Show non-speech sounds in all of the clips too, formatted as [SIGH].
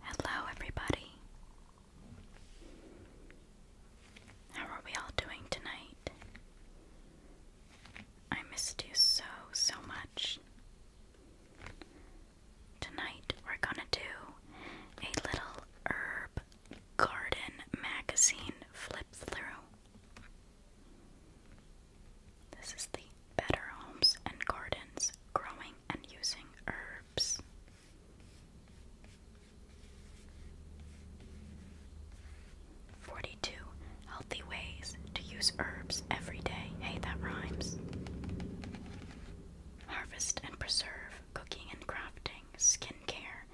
Hello, everybody. How are we all doing tonight? I missed you so, so much. Tonight, we're gonna do a little herb garden magazine flip through. This is the Better Homes and Gardens Growing and Using Herbs. Forty two Healthy Ways to Use Herbs Every Day. Hey, that rhymes. Harvest and preserve, cooking and crafting, skincare,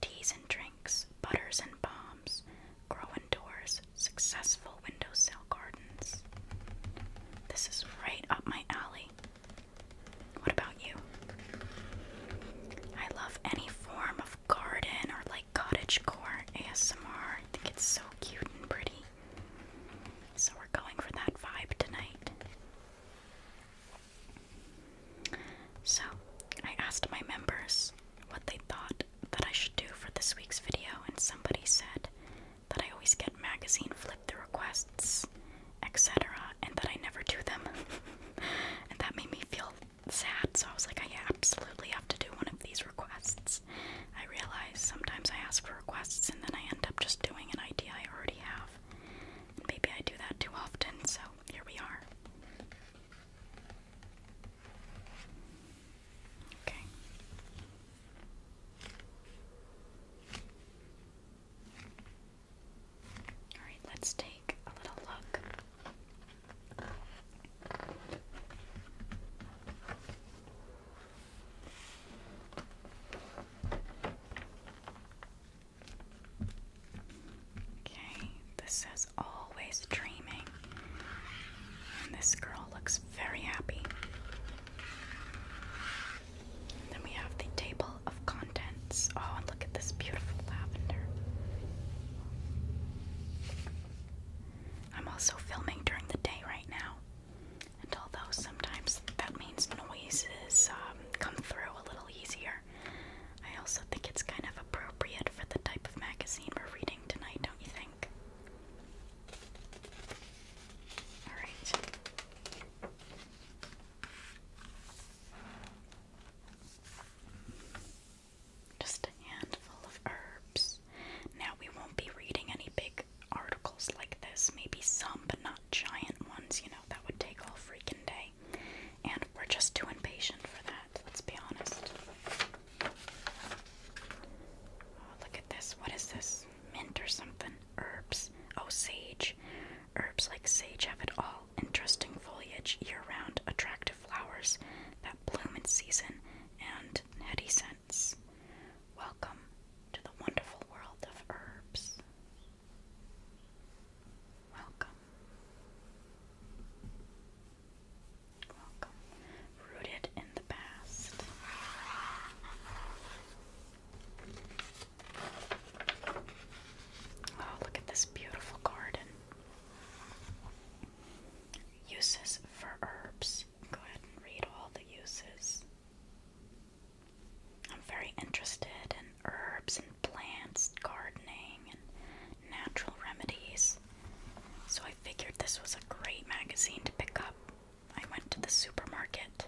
teas and drinks, butters and balms, grow indoors, successful window sill gardens. This is right up my alley. What about you? I love any form of garden or like cottagecore ASMR. I think it's so cute and pretty. So we're going for that vibe tonight. So I asked my members what they thought that I should do for this week's video, and somebody said that I always get magazine flip through requests, etc., and that I never do them. [LAUGHS] and that made me feel sad, so I was like, I absolutely have to do one of these requests. I realize sometimes I ask for requests and then I end up just doing an idea I already have. maybe I do that too often, so here we are. Okay. All right, let's take a little look. Okay, this says always dreaming. And this girl looks very happy. then we have the table of contents. Oh, and look at this beautiful lavender. I'm also filming during the day right now. And although sometimes that means noises um, come through a little easier, I also think it's kind of appropriate for the type of magazine we're reading tonight, don't you think? All right. Just a handful of herbs. Now, we won't be reading any big articles like this. Maybe some, but not giant ones. You know, that would take all freaking day. And we're just too impatient for that, let's be honest. Oh, look at this. What is this? Mint or something? Herbs. Oh, sage. Herbs like sage have it all. Interesting foliage year round, attractive flowers that bloom in season, and heady scents. Welcome to the wonderful world of herbs. Welcome welcome. Rooted in the past. Oh, look at this beautiful garden. Uses for herbs. Go ahead read all the uses. I'm very interested in herbs and plants, gardening, and natural remedies. So I I figured this was a great magazine to pick up. I went to the supermarket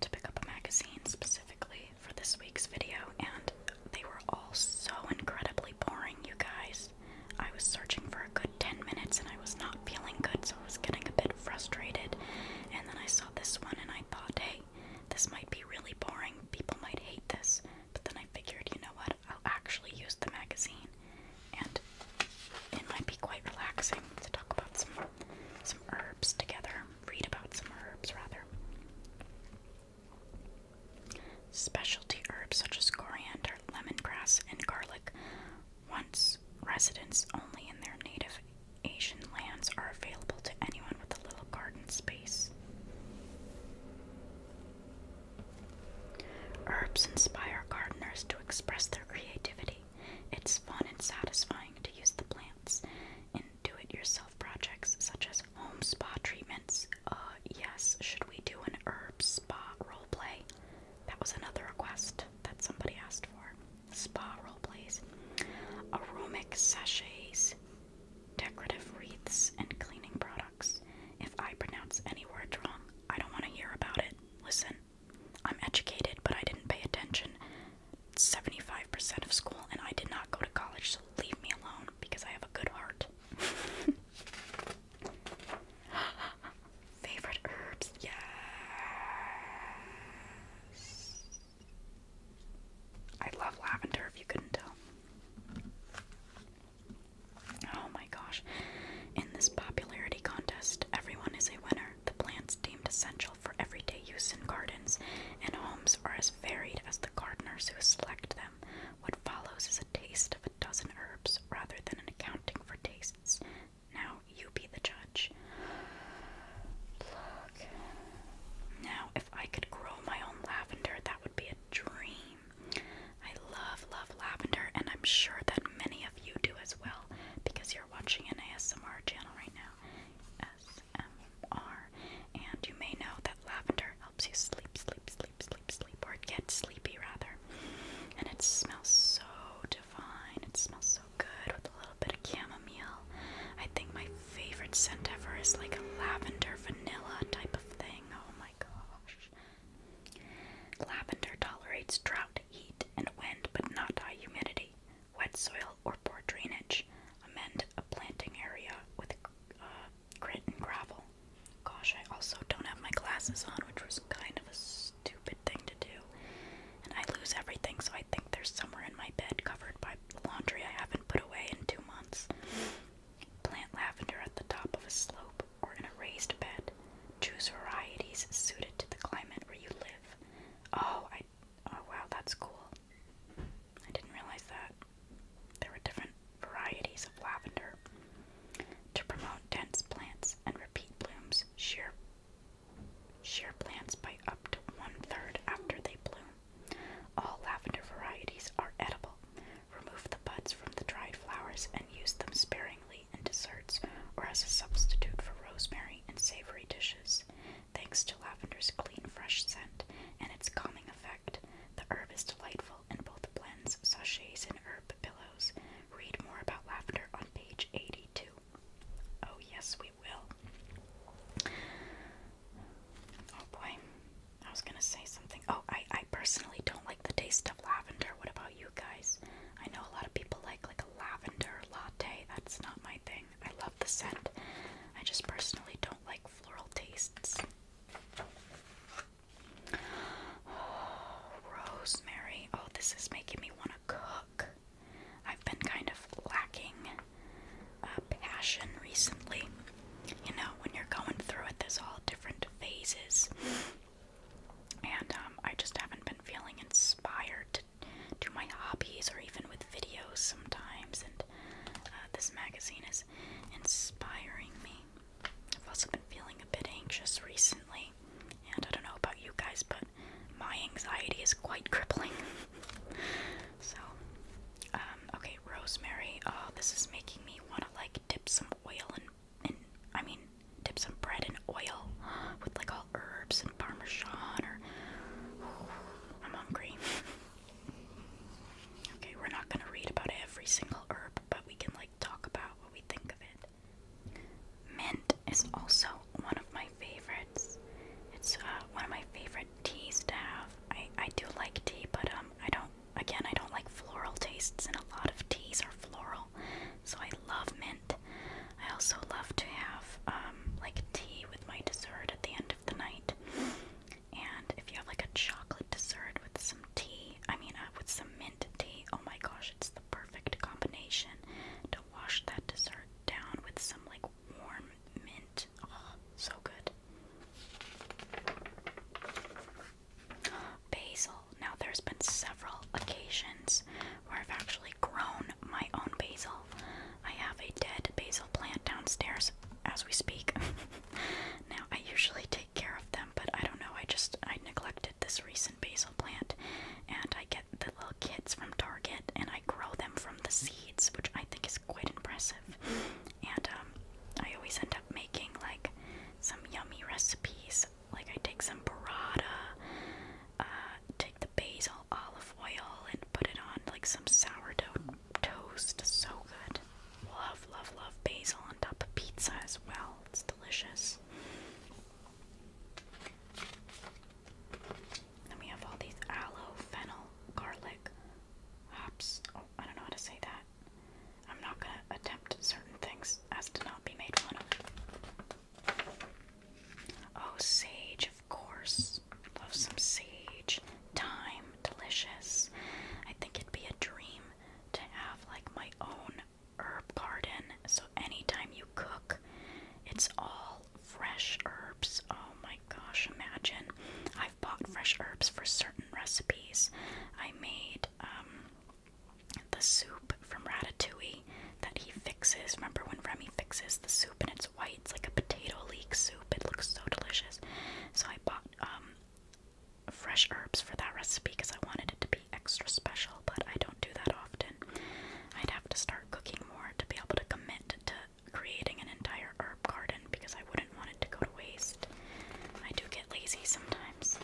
to pick up a magazine specifically for this week's video, and they were all so incredibly boring, you guys. I was searching for a good 10 minutes and I was not feeling good, so I was getting a bit frustrated. And then I saw this one and I thought, hey, this might be really boring. People might hate this. But then I figured, you know what, I'll actually use the magazine and it might be quite relaxing to talk about some some herbs together, read about some herbs rather. Specialty herbs such as coriander, lemongrass, and garlic, once residents only in their native Asian lands, are available to anyone with a little garden space. Herbs inspire gardeners to express their creativity. It's fun and satisfying to use the plants in do it yourself projects such as home spa treatments. Uh, yes, should we do an herb spa role play? That was another request that somebody asked for. Spa role plays, aromatic sachets, decorative wreaths, and cleaning products. If I pronounce any words wrong, I don't want to hear about it. Listen, I'm educated, but I didn't pay attention 75% of school, and I did not go to college, so leave me alone because I have a good heart. [LAUGHS] Favorite herbs? Yes. I love lavender if you couldn't tell. Oh my gosh. In this popularity contest, everyone is a winner. The plants deemed essential for everyday use in gardens and homes are as varied as the gardeners who select them. What follows is a taste of a dozen herbs rather than an accounting for tastes. Now you be the judge. Look. Now, if I could grow my own lavender, that be a dream. I love, love lavender, and I'm sure that many of you do as well because you're watching an ASMR channel right now. SMR. And you may know that lavender helps you sleep, sleep, sleep, sleep, sleep, or get sleepy rather. And it smells so divine. It smells so good with a little bit of chamomile. I think my favorite scent ever is like a lavender vanilla type of thing. Oh my gosh. Lavender tolerates drought, heat, and wind, but not high humidity, wet soil, or poor drainage. Amend a planting area with uh, grit and gravel. Gosh, I also don't have my glasses on, which was kind of a stupid thing to do. And I lose everything, so I think there's somewhere in my bed covered by laundry I haven't put away in two months. Plant lavender at the top of a slope or in a raised bed. Choose varieties suited to the climate where you live. Oh, I oh wow, that's cool. I didn't realize that. There were different varieties of lavender. To promote dense plants and repeat blooms, shear shear plants by up to one third after they bloom. All lavender varieties are edible. Remove the buds from the dried flowers and use them sparingly in desserts or as a substitute for rosemary in savory dishes. Thanks to lavender's clean, fresh scent and its calming effect, the herb is delightful in both blends, sachets, and herb pillows. Read more about lavender on page 82. Oh, yes, we will. Oh boy. I was gonna say something. Oh, I I personally don't like the taste of lavender. What about you guys? I know a lot of people like like a lavender latte. That's not my thing. I love the scent. I just personally don't like floral tastes. Oh, [SIGHS] rosemary. Oh, this is making me want to cook. I've been kind of lacking a uh, passion recently you know, when you're going through it, there's all different phases. And um, I just haven't been feeling inspired to do my hobbies or even with videos sometimes. And uh, this magazine is inspiring me. I've also been feeling a bit anxious recently. And I don't know about you guys, but my anxiety is quite [LAUGHS] crippling. so um, okay, rosemary. Oh, this is making me want to like dip some oil and and I mean dip some bread in oil with like all herbs and parmesan or [SIGHS] I'm hungry. [LAUGHS] okay, we're not gonna read about every single herb, but we can like talk about what we think of it. Mint is also one of my favorites. It's uh, one of my favorite teas to have. I I do like tea, but um I don't Again, I don't like floral tastes, and a lot of teas are floral, so I love mint. I also love to have um, like tea with my dessert at the end of the night. And if you have like a chocolate dessert with some tea, I mean, uh, with some mint tea, oh my gosh, it's the perfect combination to wash that dessert down with some like warm mint so good. Basil. Now, there's been several occasions where I've actually grown my own basil. I have a dead basil plant downstairs as we speak. [LAUGHS] now, I usually take care of them, but I don't know. I just I neglected this recent basil plant, and I get the little kits from Target, and I grow them from the seeds, which I think is quite impressive and um, I always end up making like some yummy recipes. Like I take some burrata, uh, take the basil olive oil and put it on like some sourdough toast. So good. Love, love, love basil on top of pizza as well. It's delicious. Then we have all these aloe, fennel, garlic, hops. Oh, I don't know how to say that. I'm not going to attempt certain things as to not be made fun of. Oh, sage, of course. Love some sage. Thyme, delicious. I think it'd be a dream to have like my own herb garden. So anytime you cook, it's all fresh herbs. Oh Oh my gosh, imagine. I've bought fresh herbs for certain recipes. I made um, the soup from Ratatouille that he fixes. Remember when Remy fixes the soup and it's white? It's like a potato leek soup. It looks so delicious. So I bought um, fresh herbs for that recipe because I wanted it to be extra special, but I don't do that often. I'd have to start cooking more to be able to commit to creating an entire herb garden because I wouldn't want it to go to waste. I do get lazy sometimes.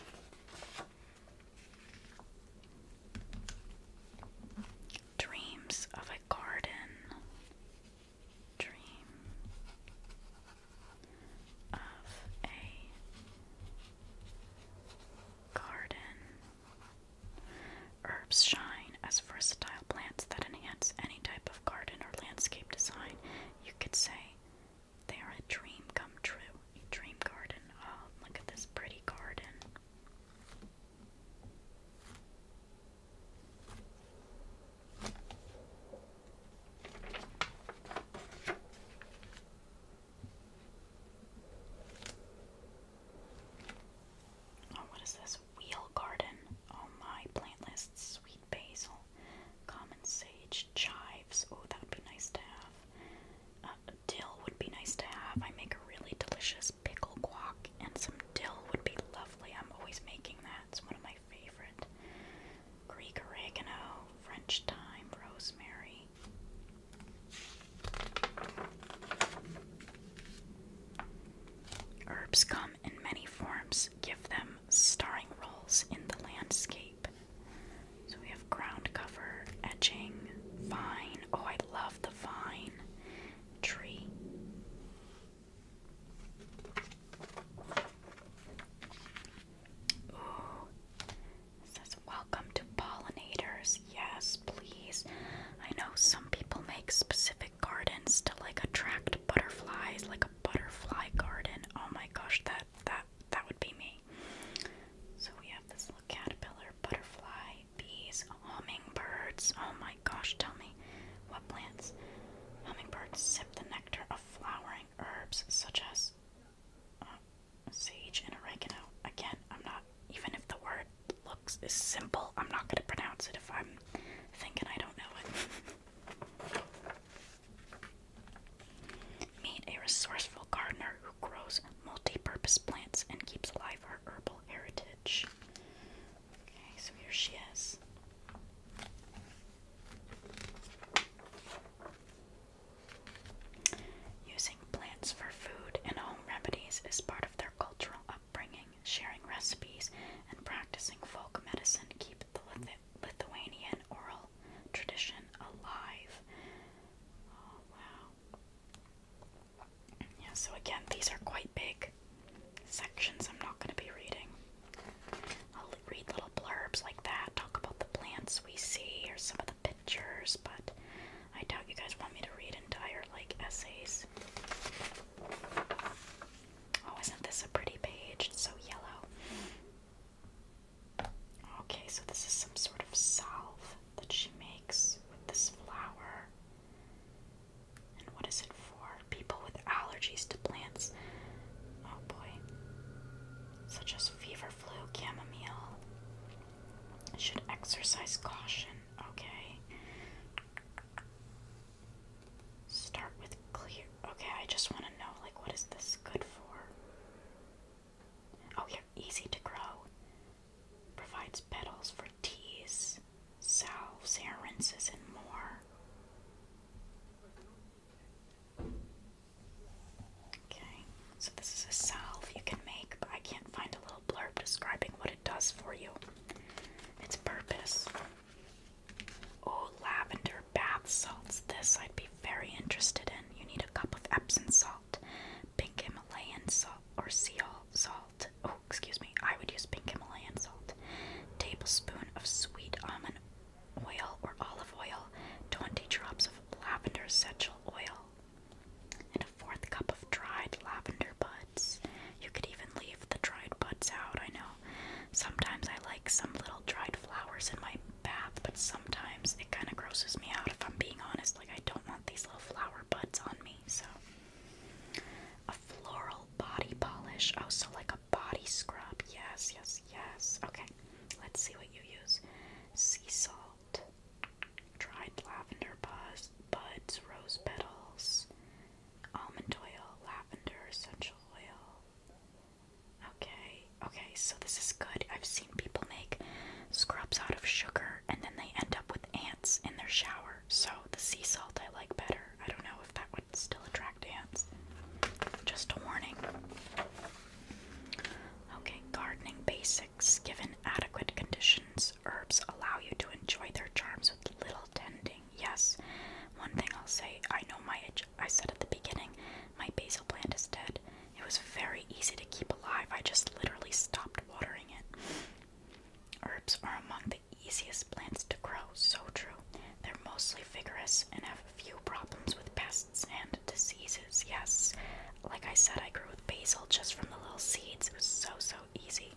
Dreams of a garden. Dream of a garden. Herbs shine as versatile plants that enhance any type garden or landscape design, you could say they are a dream come true. A dream garden. Oh, look at this pretty garden. Oh, what is this wheel garden. Oh my, plant list, sweet basil, common sage, chives. Oh, that would be nice to have. Uh, dill would be nice to have. I make a really delicious pickle guac, and some dill would be lovely. I'm always making that. It's one of my favorite. Greek oregano, French thyme, rosemary. Herbs come in many forms give them starring roles in the landscape. So we have ground cover, edging, vine. Oh, I love the vine tree. Ooh, says welcome to pollinators. Yes, please. I know some people make specific gardens to like attract butterflies, like a butterfly garden. Oh my gosh, that that that would be me. So we have this little caterpillar, butterfly, bees, hummingbirds. Oh my gosh, tell me what plants. Hummingbirds sip the nectar of flowering herbs such as uh, sage and oregano. Again, I'm not even if the word looks is simple, I'm not gonna pronounce it if I'm thinking I don't know it. [LAUGHS] Meet a resourceful gardener who grows multi-purpose plants and keeps alive our herbal heritage. Okay, so here she is. Using plants for food and home remedies is part of their cultural upbringing, sharing recipes, and practicing folk medicine keep the Lithuanian oral tradition alive. Oh, wow. Yeah, so again, these are quite big sections I'm not going to be reading. I'll read little blurbs like that, talk about the plants we see or some of the pictures, but I doubt you guys want me to read entire like essays. Oh, isn't this a pretty page? It's so yellow. Okay, so this is some sort of salve that she makes with this flower. And what is it for? People with allergies to plants. Oh boy. Such as fever, flu, chamomile. Should exercise caution. Okay. Start with clear. Okay, I just want to know, like, what is this good for? Oh, yeah, easy to grow. Provides petals for teas, salves, hair rinses, and more. Okay, so this is a salve you can make, but I can't find a little blurb describing what it does for you. Its purpose. Oh, lavender bath salts. This I'd be very interested in. You need a cup of Epsom salt, pink Himalayan salt, or sea salt. Oh, excuse me. I would use pink Himalayan salt. Tablespoon of sweet almond oil or olive oil, 20 drops of lavender essential oil, and a fourth cup of dried lavender bud. You could even leave the dried buds out, I know. Sometimes I like some little dried flowers in my bath, but sometimes it kind of grosses me out if I'm being honest. Like, I don't want these little flower buds on me, so. A floral body polish. Oh, so like a body scrub. Yes, yes, yes. Okay, let's see what you use sea salt, dried lavender buds, buds rose petals almond oil, lavender essential oil. Okay, okay, so this is good. I've seen people make scrubs out of sugar and then they end up with ants in their shower. So the sea salt I like better. I don't know if that would still attract ants. Just a warning. Okay, gardening basics. Given adequate conditions, herbs allow you to enjoy their charms with little tending yes. One thing I'll say, I know my I said at the beginning, my basil plant is dead. It was very easy to keep alive. I just literally stopped watering it. Herbs are among the easiest plants to grow, so true. They're mostly vigorous and have few problems with pests and diseases. Yes, like I said, I grew with basil just from the little seeds. It was so, so easy.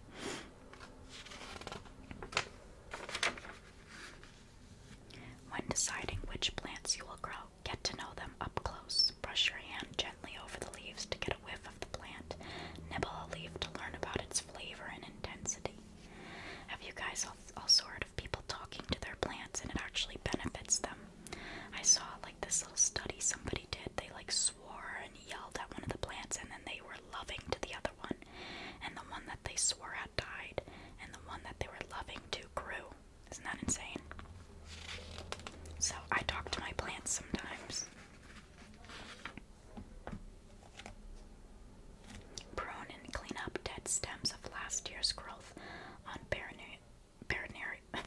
When deciding which plants you will grow, get to know them up close. Brush your hand gently over the leaves to get a whiff of the plant. Nibble a leaf to learn about its flavor and intensity. Have you guys also heard of people talking to their plants and it actually benefits them? I saw like this little study somebody did they like swore and yelled at one of the plants, and then they were loving to the other one. And the one that they swore at died, and the one that they were loving to grew. Isn't that insane? So I talk to my plants sometimes. Prune and clean up dead stems of last year's growth on baronary. [LAUGHS]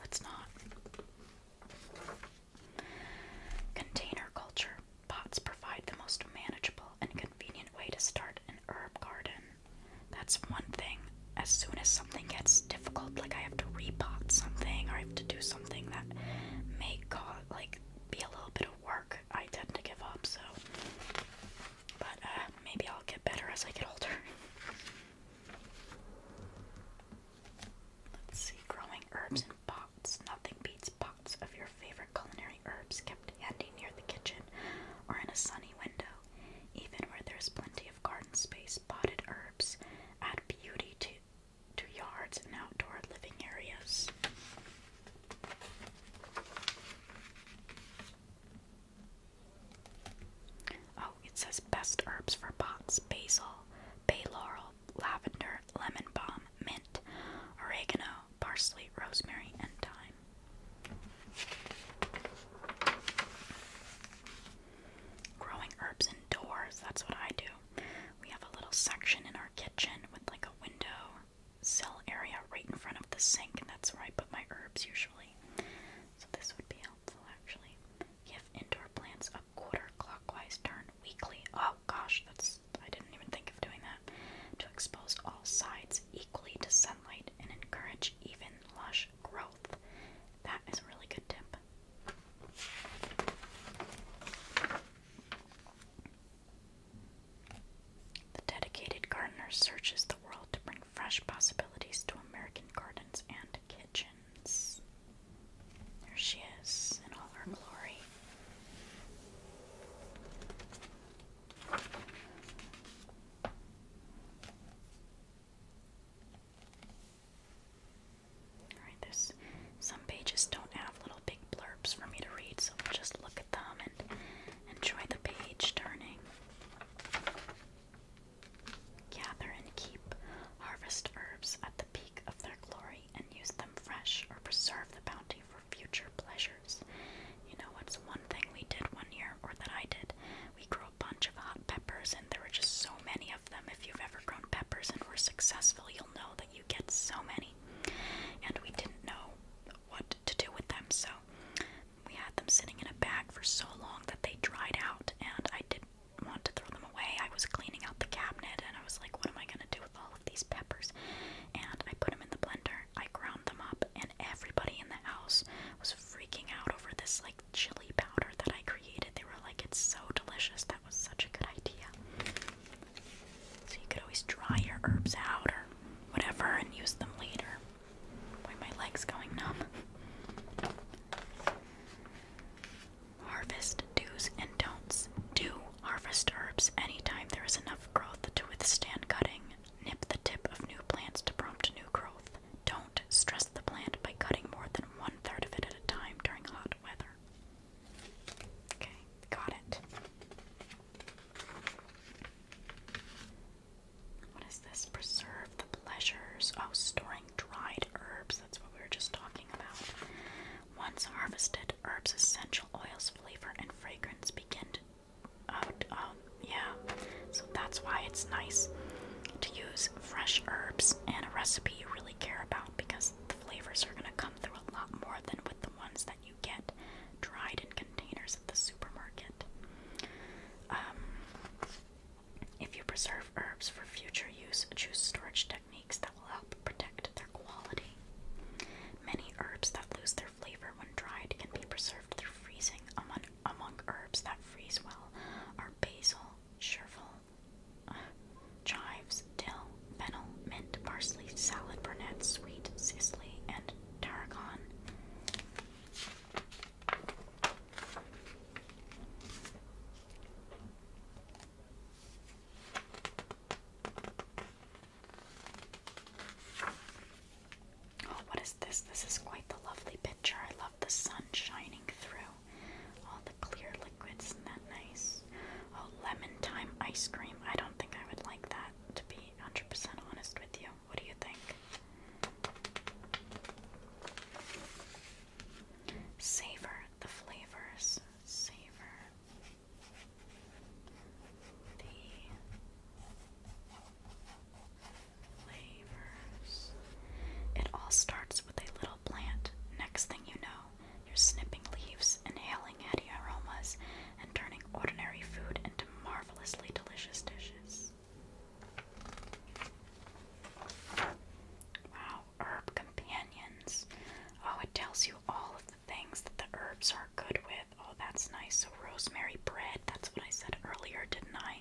Let's not. Container culture. Pots provide the most manageable and convenient way to start an herb garden. That's one thing. As soon as something gets difficult, like I have to repot something or I have to do something that may cause, like, be a little bit of work, I tend to give up, so. But uh, maybe I'll get better as I get older. [LAUGHS] Let's see, growing herbs in pots. Nothing beats pots of your favorite culinary herbs kept handy near the kitchen or in a sunny window. Even where there's plenty of garden space, potted herbs add beauty to yards and outdoor living areas. Oh, it says best herbs for pots basil, bay laurel, lavender, lemon balm, mint, oregano, parsley, rosemary, and thyme. Growing herbs indoors, that's what I do. We have a little section in our kitchen with like a window sill area right in front of the sink, and that's where I put my herbs usually. So, this would be helpful actually. Give indoor plants a quarter clockwise turn weekly. Oh gosh, that's I didn't even think of doing that. To expose all sides equally to sunlight and encourage even lush growth. That is a really good tip. The dedicated gardener searches the world to bring fresh possibilities to American gardens and kitchen. There she is in all her glory. Alright, there's some pages don't have little big blurbs for me to read, so just look at them and enjoy the page turning. Gather and keep harvest herbs at the peak of their glory and use them fresh or preserve the bounty for future pleasures. You know what's one thing we did one year, or that I did? We grew a bunch of hot peppers, and there were just so many of them. If you've ever grown peppers and were successful, you'll know that you get so many. And we didn't know what to do with them, so we had them sitting in a bag for so long that they dried out, and I did want to throw them away. I was cleaning out the cabinet and I was like, what am I going to do with all of these peppers? And I put them in the blender, I ground them up, and everybody in the house was freaking out over this like chili powder that I created. They were like, it's so delicious. That was such a good idea. So you could always dry your herbs out or whatever and use them later. Boy, my leg's going numb. Harvest do's and don'ts. Do harvest herbs anytime there is enough growth to withstand cutting. Nip the tip of new plants to prompt new growth. Don't stress the plant by cutting more than one third of it at a time during hot weather. Okay, got it. What is this? Preserve the pleasures. Oh, storing dried herbs. That's what we were just talking about. Once harvested, herbs' essential oils, flavor, and fragrance begin to. Out, um, yeah, so that's why it's nice to use fresh herbs and a recipe you really care about because the flavors are going to come through a lot more than with the ones that you get dried in containers at the supermarket. Um, if you preserve herbs for future use, choose storage techniques that will help protect their quality. Many herbs that lose their flavor when dried can be preserved through freezing. Among, herbs that freeze well are basil, chervil, uh, chives, dill, fennel, mint, parsley, salad, burnet, sweet, sicily, and tarragon. Oh, what is this? This is quite the lovely picture. I love the sun shining through all the clear liquids. Isn't that nice? Oh, lemon thyme ice cream. I don't think I would like that, to be 100% honest with you. What do you think? Savor the flavors. Savor the flavors. It all starts with a little plant. Next thing you know, you're snipping leaves, inhaling heady aromas, and turning ordinary food into marvelously delicious dishes. Wow, herb companions. Oh, it tells you all of the things that the herbs are good with. Oh, that's nice. So, rosemary bread, that's what I said earlier, didn't I?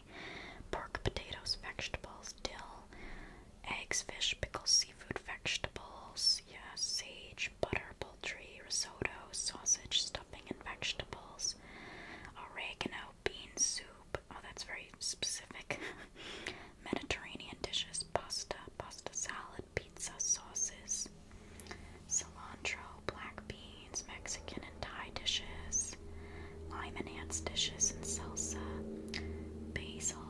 Pork, potatoes, vegetables, dill, eggs, fish, pickles, seafood, vegetables, yes, yeah, sage, butter, poultry, risotto, sausage, stuffing, and vegetables, oregano, bean soup. Oh, that's very specific. [LAUGHS] Mediterranean dishes, pasta, pasta salad, pizza, sauces, cilantro, black beans, Mexican and Thai dishes, lime enhanced dishes and salsa, basil,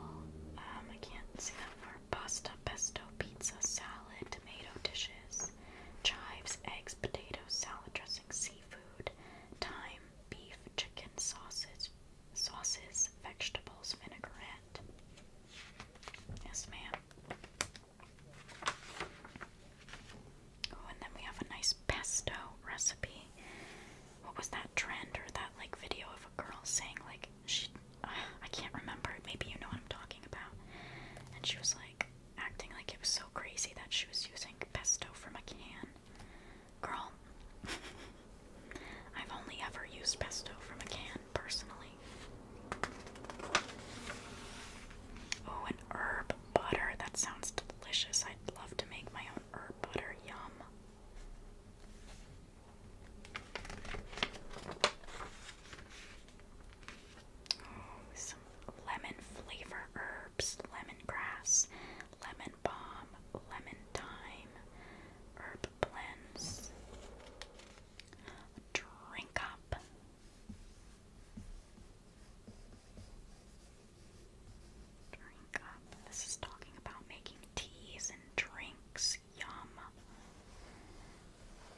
um, I can't see that word, pasta, pesto, pizza, salad, tomato dishes, chives, eggs, potatoes, salad dressing, seafood, thyme, beef, chicken, sausage, sauces, vegetables, vinaigrette. Yes, ma'am. Oh, and then we have a nice pesto recipe. What was that trend or that like video of a girl saying like she uh, I can't remember. Maybe you know what I'm talking about. And she was like acting like it was so crazy that she was using pesto from a can. Girl, [LAUGHS] I've only ever used pesto from a can, personally. Oh, an herb butter. That sounds delicious. I'd love to make my own herb butter. Yum. Oh, some lemon flavor herbs, lemongrass, lemon balm, lemon thyme, herb blends, drink up. Drink up. This is talking about making teas and drinks. Yum.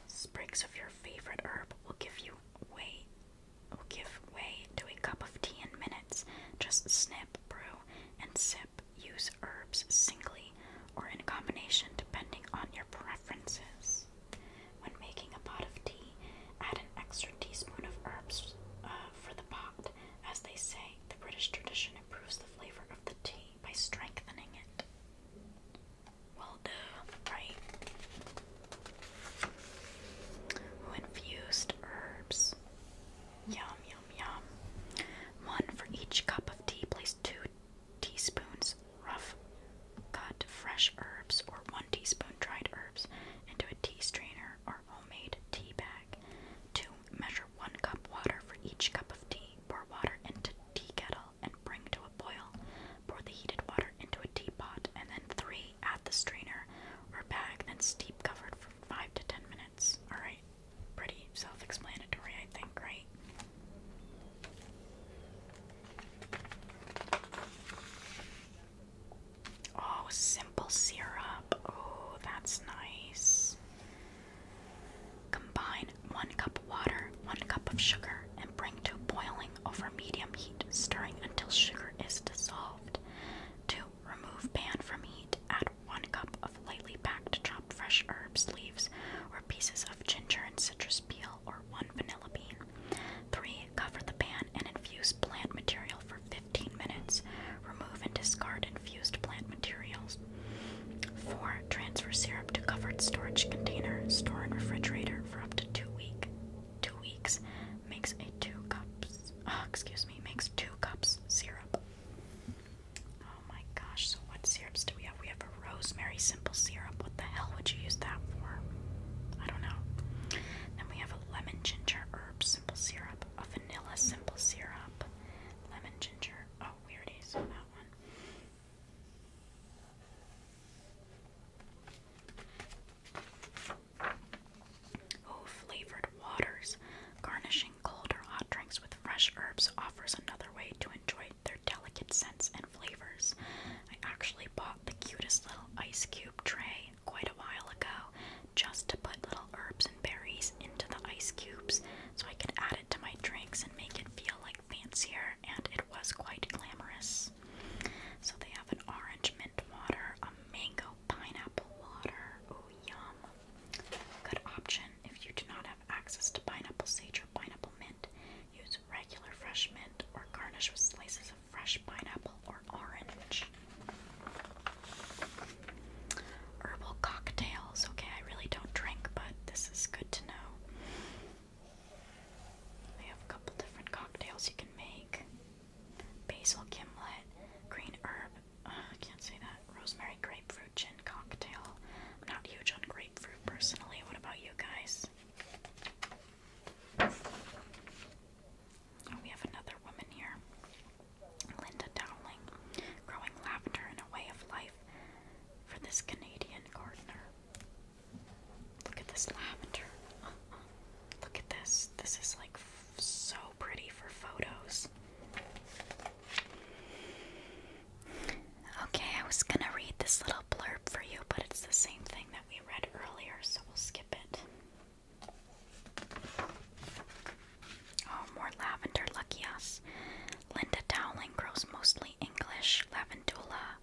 Sprigs of your favorite herb will give you way Oh, give way to a cup of tea in minutes. Just snip, brew, and sip. Use herbs singly or in combination depending on your preferences. When making a pot of tea, add an extra teaspoon of herbs uh, for the pot. As they say, the British tradition improves the flavor of the tea by strengthening it. Well, duh, right? infused herbs. Yum, yum, yum. One for each cup of tea. Place two teaspoons rough cut fresh herbs or one teaspoon dried herbs into a tea strainer or homemade tea bag. Two, measure one cup water for each cup of tea. Pour water into tea kettle and bring to a boil. Pour the heated water into a teapot and then three, at the strainer or bag, then steep covered for 5 to 10 minutes. Alright, pretty self explanatory, I think, right? Oh, simple syrup. Oh, that's nice. Combine one cup of water, one cup of sugar, and bring to boiling over medium heat, stirring until sugar is dissolved. To Remove pan from heat. Add 1 cup of lightly packed chopped fresh herbs, leaves, or pieces of ginger and citrus peel, or 1 vanilla bean. 3. Cover the pan and infuse plant material for 15 minutes. Remove and discard infused plant materials. 4. Transfer syrup to covered storage container. Store in refrigerator for up to 2 weeks two weeks makes a two cups uh, [SIGHS] excuse me makes two cups syrup oh my gosh so what syrups do we have we have a rosemary simple syrup what the hell would you use that for I don't know then we have a lemon ginger herb simple syrup a vanilla simple syrup lemon ginger oh we already saw that one Oh, flavored waters. Garnishing cold or hot drinks with fresh herbs offers another way to enjoy their delicate scents and flavors. I actually bought the cutest little ice cube tray quite a while ago just to put little herbs and berries into the ice cubes so I could add it to my drinks and make it feel like fancier, and it was quite glamorous. So they have an orange mint water, a mango pineapple water. Oh, yum. Good option if you do not have access to pineapple sage or pineapple mint. Use regular fresh mint or garnish with slices of fresh pineapple or orange. Herbal cocktails. Okay, I really don't drink, but this is good to know. They have a couple different cocktails you can make basil gimlet, green herb, uh, can't say that, rosemary grapefruit gin cocktail. not huge on grapefruit personally. What about you guys? Oh, we have another woman here. Linda Dowling, growing laughter in a way of life for this Canadian gardener. Look at this lavender. Uh-uh. Look at this. This is like so pretty for photos. Okay, I was gonna read this little blurb for you, but it's the same thing that we read earlier, so we'll skip it. Oh, more lavender, lucky us. Linda Dowling grows mostly English lavandula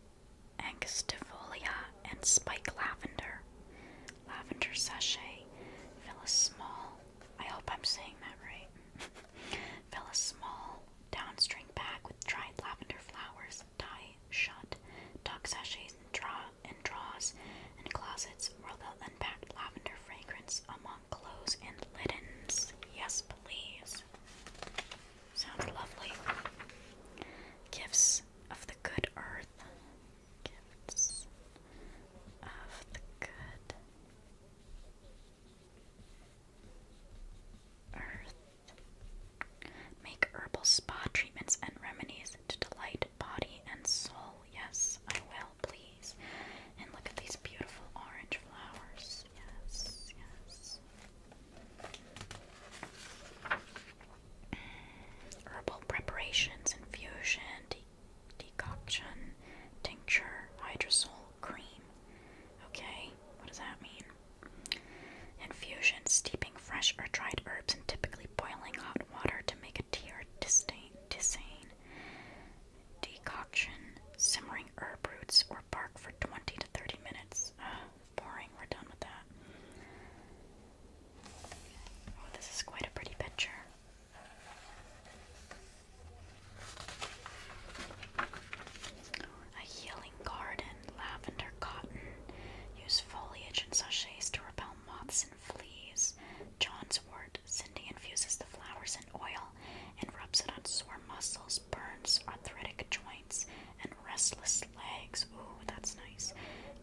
angustifolia, and spike lavender. Lavender sachet. Fill a small, I hope I'm saying that right. [LAUGHS] Fill a small downstring bag with dried lavender flowers, tie shut, Dog sachets and draw and draws and closets where they'll unpack lavender fragrance among clothes and linens. Yes, please. Sounds lovely. Gifts of the good earth, gifts of the good earth. Make herbal spa treatments and remedies to delight body and soul. Yes, I will, please. And look at these beautiful orange flowers. Yes, yes. Herbal preparations, infusion, decoction, tincture, hydrosol, cream. Okay, what does that mean? Infusion, steeping fresh or dried herbs and typically boiling hot water to make a tea or tisane. Decoction, simmering herb roots or bark for 20 to 30 minutes. Ah, boring. We're done with that. Oh, this is quite a pretty picture. A healing garden, lavender cotton. Use foliage and sachets to repel moths and fleas. John's wort. Cindy infuses the flowers in oil and rubs it on sore muscles, burns, arthritic joints, and restless legs. Ooh, that's nice.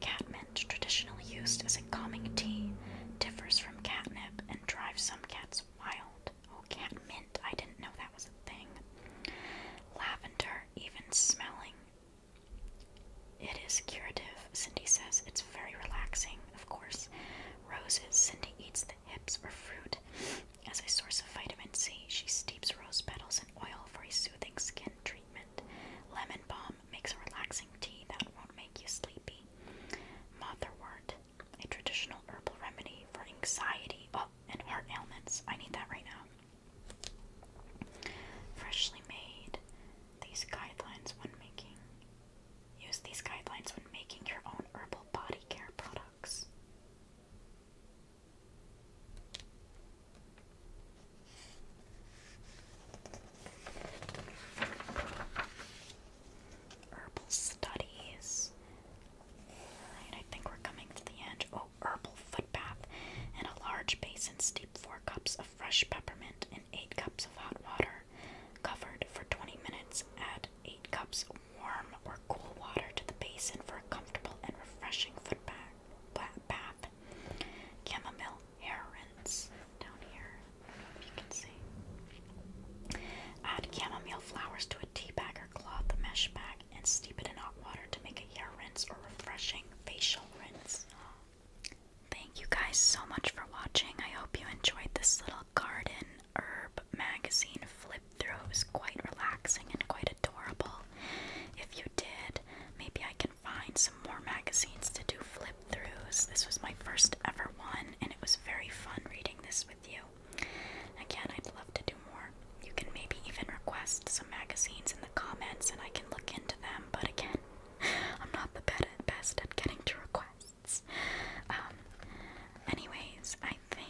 Catmint, traditionally used as a calming tea, differs from catnip and drives some cats wild. Oh, catmint, I didn't know that was a thing. Lavender, even smelling. It is curative, Cindy says. It's very relaxing, of course. Roses, Cindy eats the hips or fruit. As a source of vitamin C, she steeps rose petals oil for a soothing skin treatment. Lemon balm makes a relaxing tea that won't make you sleepy. Motherwort, a traditional herbal remedy for anxiety oh, and heart ailments. I need that right now. Freshly made. These guidelines when making. Use these guidelines when making your own herbal body care products. Herbal studies. Alright, I think we're coming to the end. Oh, herbal foot bath. In a large basin, steep four cups of fresh peppermint in eight cups of hot water. Covered for 20 minutes. Add eight cups warm or cool water to the basin for a comfortable and refreshing foot bath. Chamomile hair rinse down here. if you can see. Add chamomile flowers to a tea bag or cloth mesh bag and steep it in hot water to make a hair rinse or refreshing facial rinse. Thank you guys so much for watching. I hope you enjoyed this little garden herb magazine flip would throw was quite relaxing and quite adorable. If you did, maybe I can find some more magazines to do flip throughs. This was my first ever one, and it was very fun reading this with you. Again, I'd love to do more. You can maybe even request some magazines in the comments and I can look into them, but again, [LAUGHS] I'm not the best at getting to requests. Um, anyways, I think